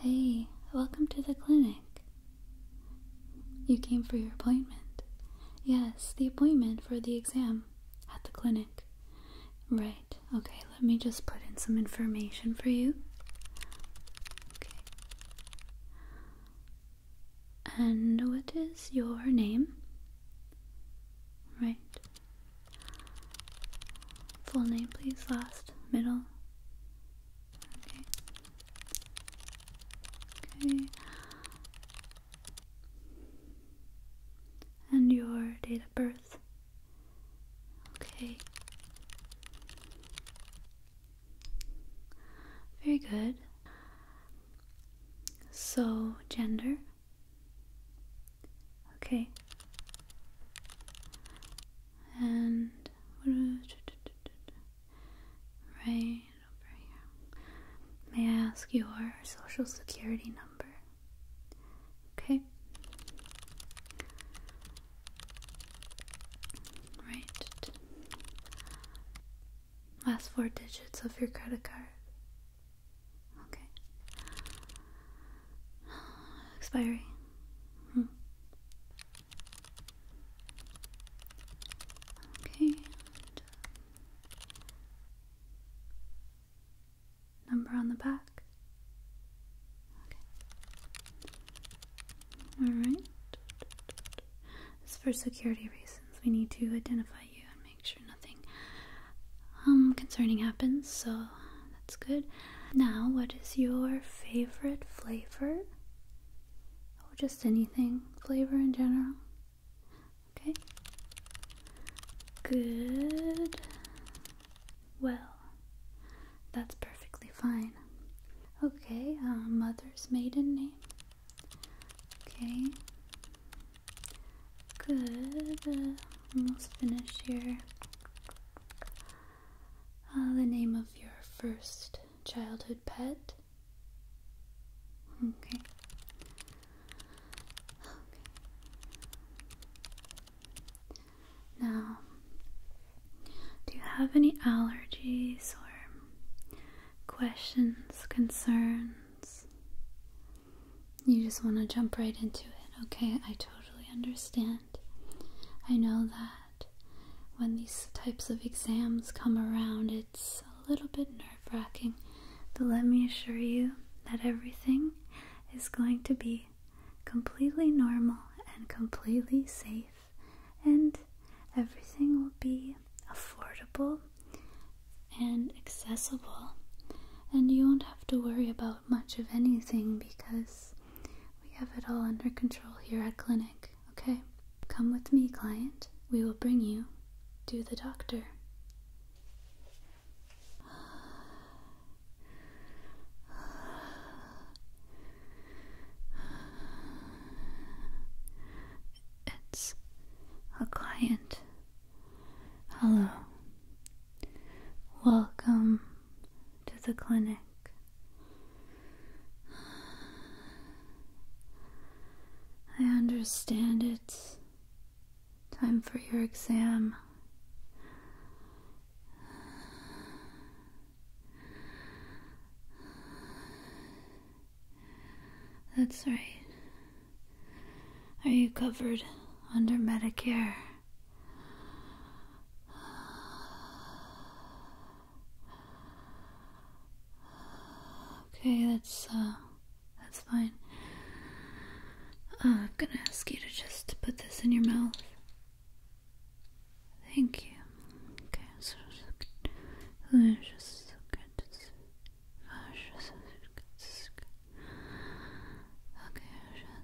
Hey, welcome to the clinic. You came for your appointment. Yes, the appointment for the exam at the clinic. Right, okay, let me just put in some information for you. Okay. And what is your name? Right. Full name, please. Last, middle, Okay. Okay. And your date of birth. Okay. Very good. So, gender. Okay and right over here. May I ask your social security number? Okay. Right. Last four digits of your credit card. Okay. Expiry. Okay. Uh, number on the back. Okay. All right. Just for security reasons, we need to identify you and make sure nothing um concerning happens. So that's good. Now, what is your favorite flavor? Oh, just anything flavor in general? Okay. Good. Well, that's perfectly fine. Okay, uh, mother's maiden name. Okay. Good. Uh, almost finished here. Uh, the name of your first childhood pet? Okay. Now, do you have any allergies or questions, concerns? You just want to jump right into it. Okay, I totally understand. I know that when these types of exams come around, it's a little bit nerve wracking. But let me assure you that everything is going to be completely normal and completely safe, and everything will be affordable and accessible. And you won't have to worry about much of anything because we have it all under control here at clinic, okay? Come with me, client. We will bring you to the doctor. It's a client. Hello. Welcome to the clinic. I understand it's Time for your exam. That's right. Are you covered under Medicare? Okay, that's uh that's fine. Uh, I'm gonna ask you to just put this in your mouth. Thank you. Okay, so just Okay,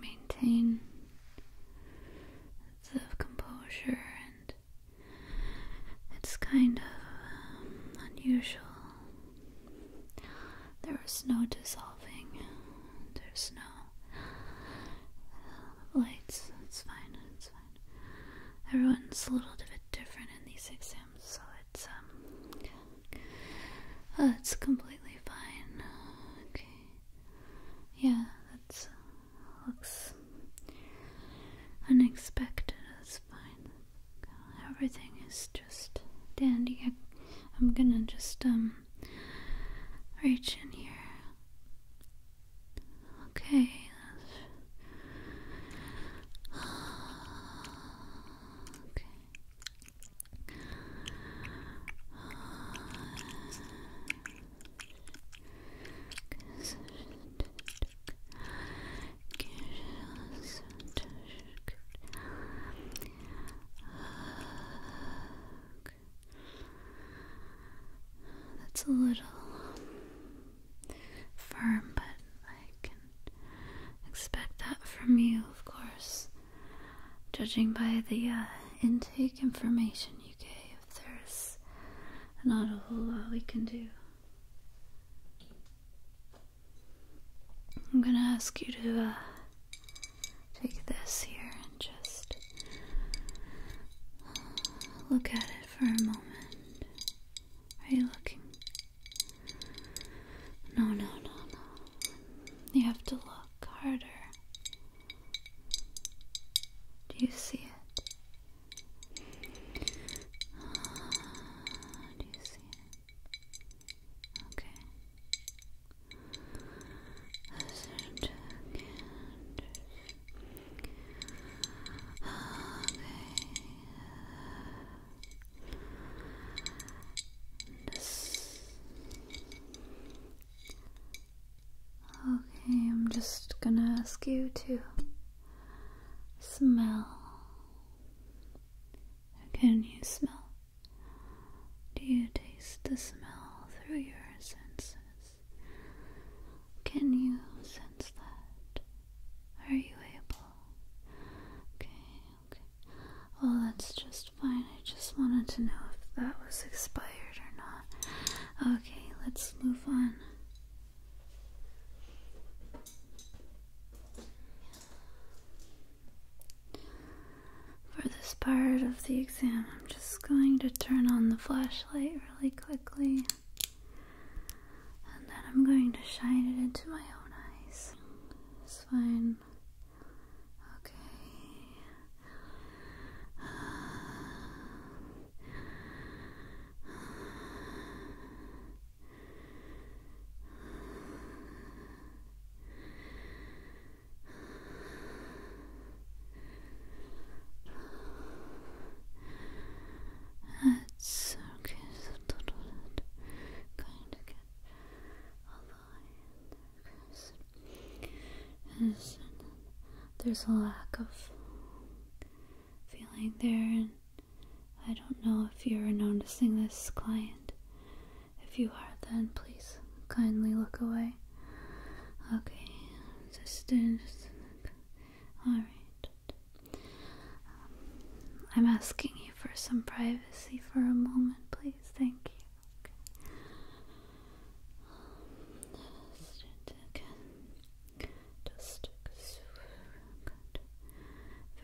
maintain a composure, and it's kind of um, unusual. There is no dissolving, there's no uh, lights. It's fine, it's fine. Everyone's a little bit different in these exams, so it's um, oh, it's completely fine. Okay. Yeah, that looks unexpected. That's fine. Everything is just dandy. I, I'm gonna just um reach in here. Okay. Okay. That's a little firm, but I can expect that from you, of course. Judging by the uh, intake information you gave, there's not a whole lot we can do. I'm gonna ask you to uh, take this here and just uh, look at it for a moment. Are you looking? No, no, no, no. You have to look. Carter, Do you see it? Do you see it? Okay. Okay, I'm just gonna ask you to smell. Can you smell? Do you taste the smell through your senses? Can you sense that? Are you able? Okay, Okay. Well, that's just fine. I just wanted to know if that was expired or not. Okay, let's move on. For this part of the exam, I'm just going to turn on the flashlight really quickly. And then I'm going to shine it into my own eyes. It's fine. Okay. It's okay, so kind of get a line. Okay, there's a lack of feeling there, and I don't know if you're noticing this client. If you are, then please kindly look away. Okay, just, alright. Um, I'm asking you for some privacy for a moment, please. Thank you.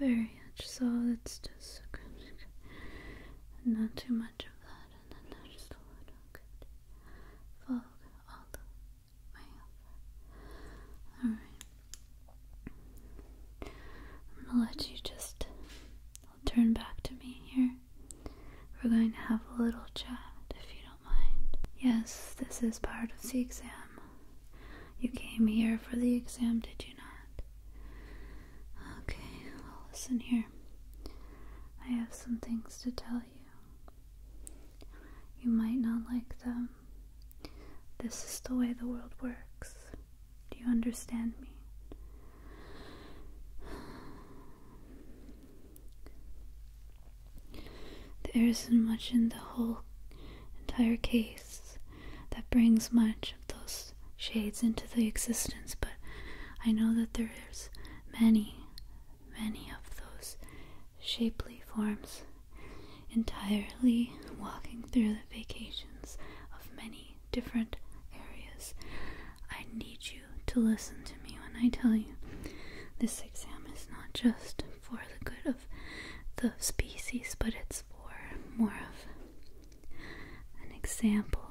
Very much so. It's just good. Not too much of that, and then just a little good. Follow all the way All right. I'm gonna let you just turn back to me here. We're going to have a little chat if you don't mind. Yes, this is part of the exam. You came here for the exam, did you not? Okay, well, listen here. I have some things to tell you. You might not like them. This is the way the world works. Do you understand me? There isn't much in the whole entire case that brings much of those shades into the existence, but I know that there is many, many of those shapely forms entirely walking through the vacations of many different areas. I need you to listen to me when I tell you this exam is not just for the good of the species, but it's for more of an example.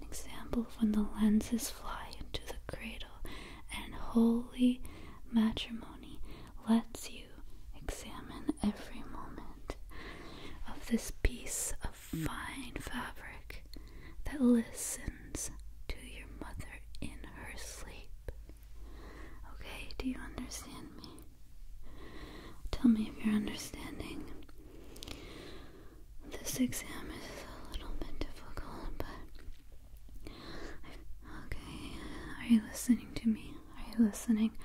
An example when the lenses fly into the cradle and holy matrimony lets you examine every moment of this piece of fine fabric that listens to your mother in her sleep. Okay, do you understand me? Tell me if you're understanding. This exam is a little bit difficult, but. okay, are you listening to me? Are you listening?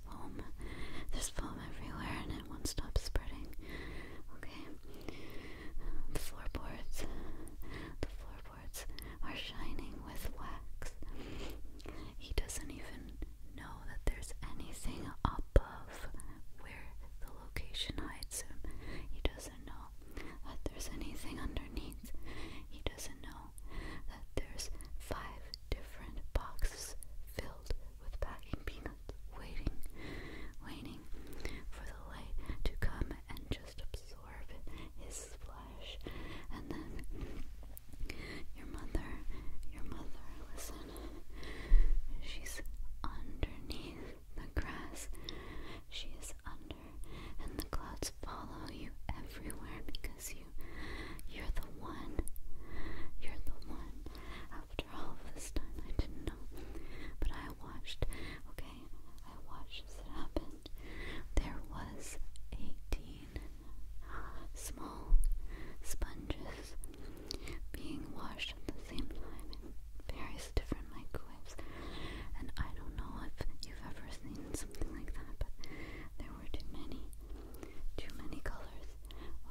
there's foam. There's foam everywhere and it won't stop spreading. Okay? The floorboards. The floorboards are shining with wax. He doesn't even know that there's anything above where the location hides him. He doesn't know that there's anything underneath. He doesn't know there's five different boxes filled with packing peanuts waiting, waiting for the light to come and just absorb his flesh. And then your mother, your mother, listen, she's underneath the grass. She's under, and the clouds follow you everywhere because you, are the one. You're the one. After all this time, I didn't know. But I watched, okay? I watched it happened. There was 18 small sponges being washed at the same time in various different microwaves. And I don't know if you've ever seen something like that, but there too many. Too many colors.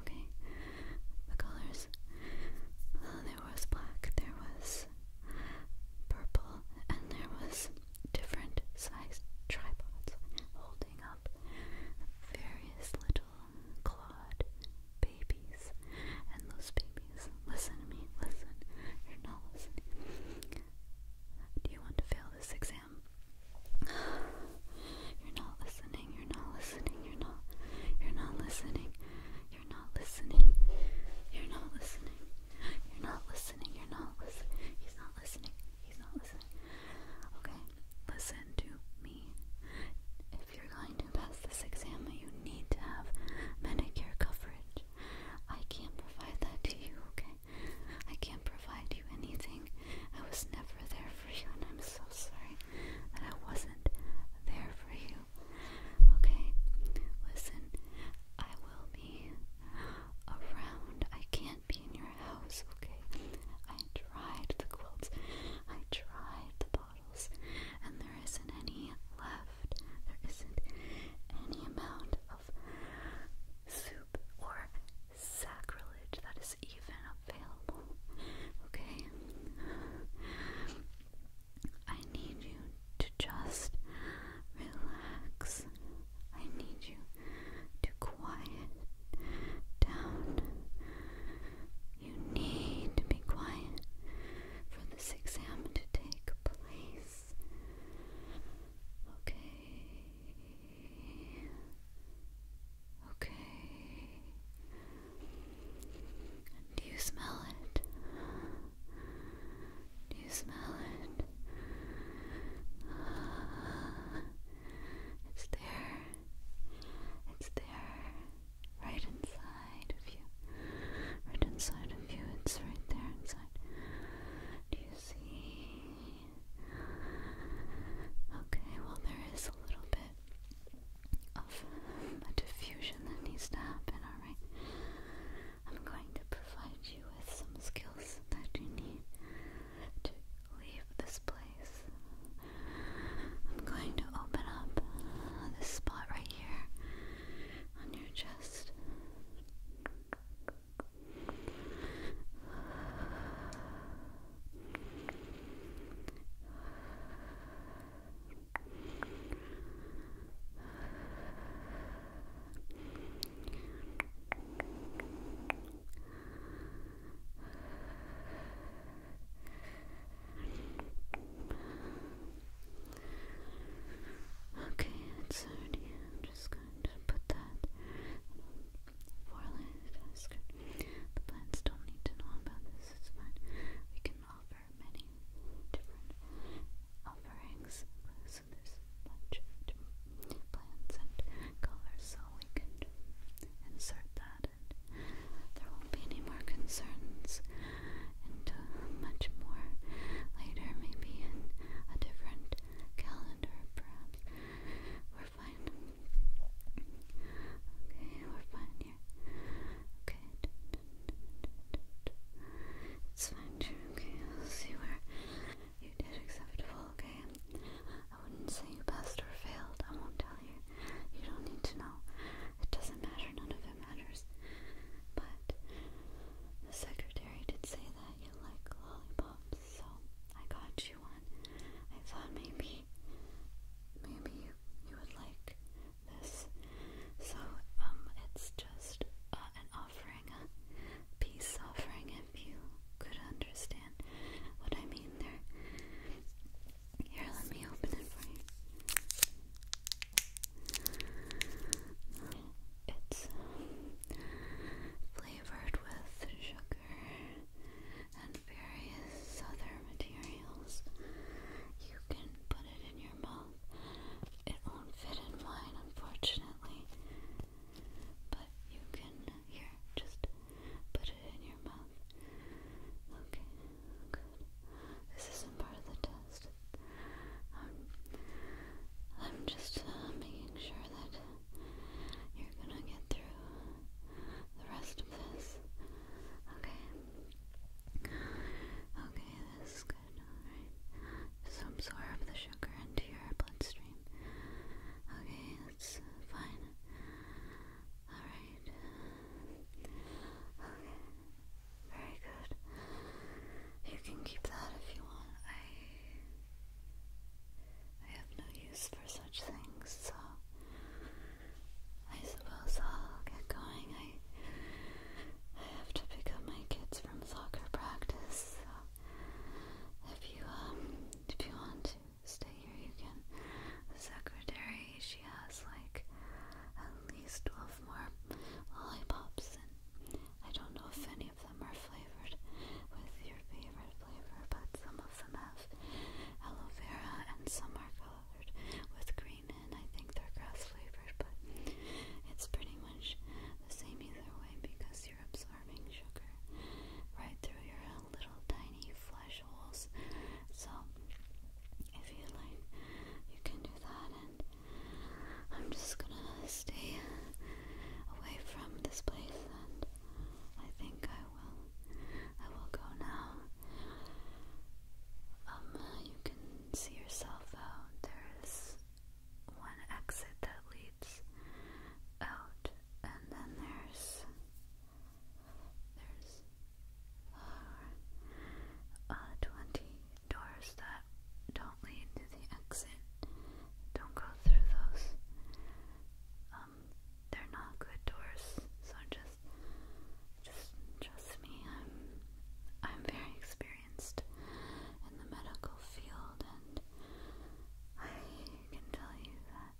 Okay. The colors. Uh, there was black, there was purple, and there was different sized tripods holding up various little clawed babies. And those babies, listen to me, listen. You're not listening. Do you want to fail this exam? You're not listening, you're not listening, you're not you're not listening, you're not listening, you're not listening, you're not listening, you're not listening, he's not listening, he's not listening. Okay, listen to me. If you're going to pass this exam, you need to have Medicare coverage. I can't provide that to you, okay? I can't provide you anything. I was never there for you, and I'm so sorry that I wasn't there for you. Okay, listen, I will be around. I can't be in your house, okay? I tried the quilts, I tried the bottles, and there isn't any left. There isn't any amount of soup or sacrilege that is even available. Okay? I need you to just relax. I need you to quiet down. You need to be quiet for this exam to take place. Okay. Okay. Do you smell it? Do you smell it? it's there. It's there. Right inside of you. Right inside of you. It's right there inside. Do you see? Okay, well, there is a little bit of a diffusion that needs to happen, alright? I'm going to provide you with some skills that you need to leave this place. I'm going to open up this spot right here on your chest. Okay, it's already. I'm just going to put that foreland is The plants don't need to know about this, it's fine. We can offer many different offerings. So there's a different plants and colors, so we can insert that and there won't be any more concerns and much more later, maybe in a different calendar perhaps. We're fine. Okay, we're fine here. Okay. It's fine, sure. Okay, I'll see where you did acceptable, okay? I wouldn't say you passed or failed. I won't tell you. You don't need to know. It doesn't matter. None of it matters. But the secretary did say that you like lollipop. So I got you one. I thought maybe maybe you, you would like this. So um it's just uh, an offering, a peace offering if you could understand what I mean there. Here, let me open it for you. It's flavored with sugar and various other materials. You can put it in your mouth. It won't fit in mine, unfortunately. But you can, here, just put it in your mouth. Okay, good. This isn't part of the test. Um, I'm just uh, making sure that you're gonna get through the rest of this. Okay. Okay, this is good. Alright. Just absorb the sugar into your bloodstream. Okay, that's fine. Alright. Okay. Very good. You can keep that if you want. I have no use for such things, so I suppose I'll get going. I, I have to pick up my kids from soccer practice, so if you um if you want to stay here you can. The secretary she has like at least twelve more lollipops and I don't know if any of them are flavored with your favorite flavor, but some of them have aloe vera and some are colored with green, and I think they're grass flavored, but it's pretty much the same either way because you're absorbing sugar right through your little tiny flesh holes. So, if you like, you can do that, and I'm just gonna stay away from this place, and I think I will. I will go now. Um, you can see yourself out. There's one exit that leads out, and then there's there's uh, uh, twenty doors that don't lead to the exit. Don't go through those. Um, they're not good doors. So just, just trust me. I'm, I'm very experienced in the medical field, and I can tell you that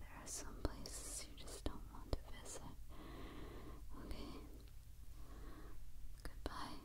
there are some places you just don't want to visit. Okay. Goodbye.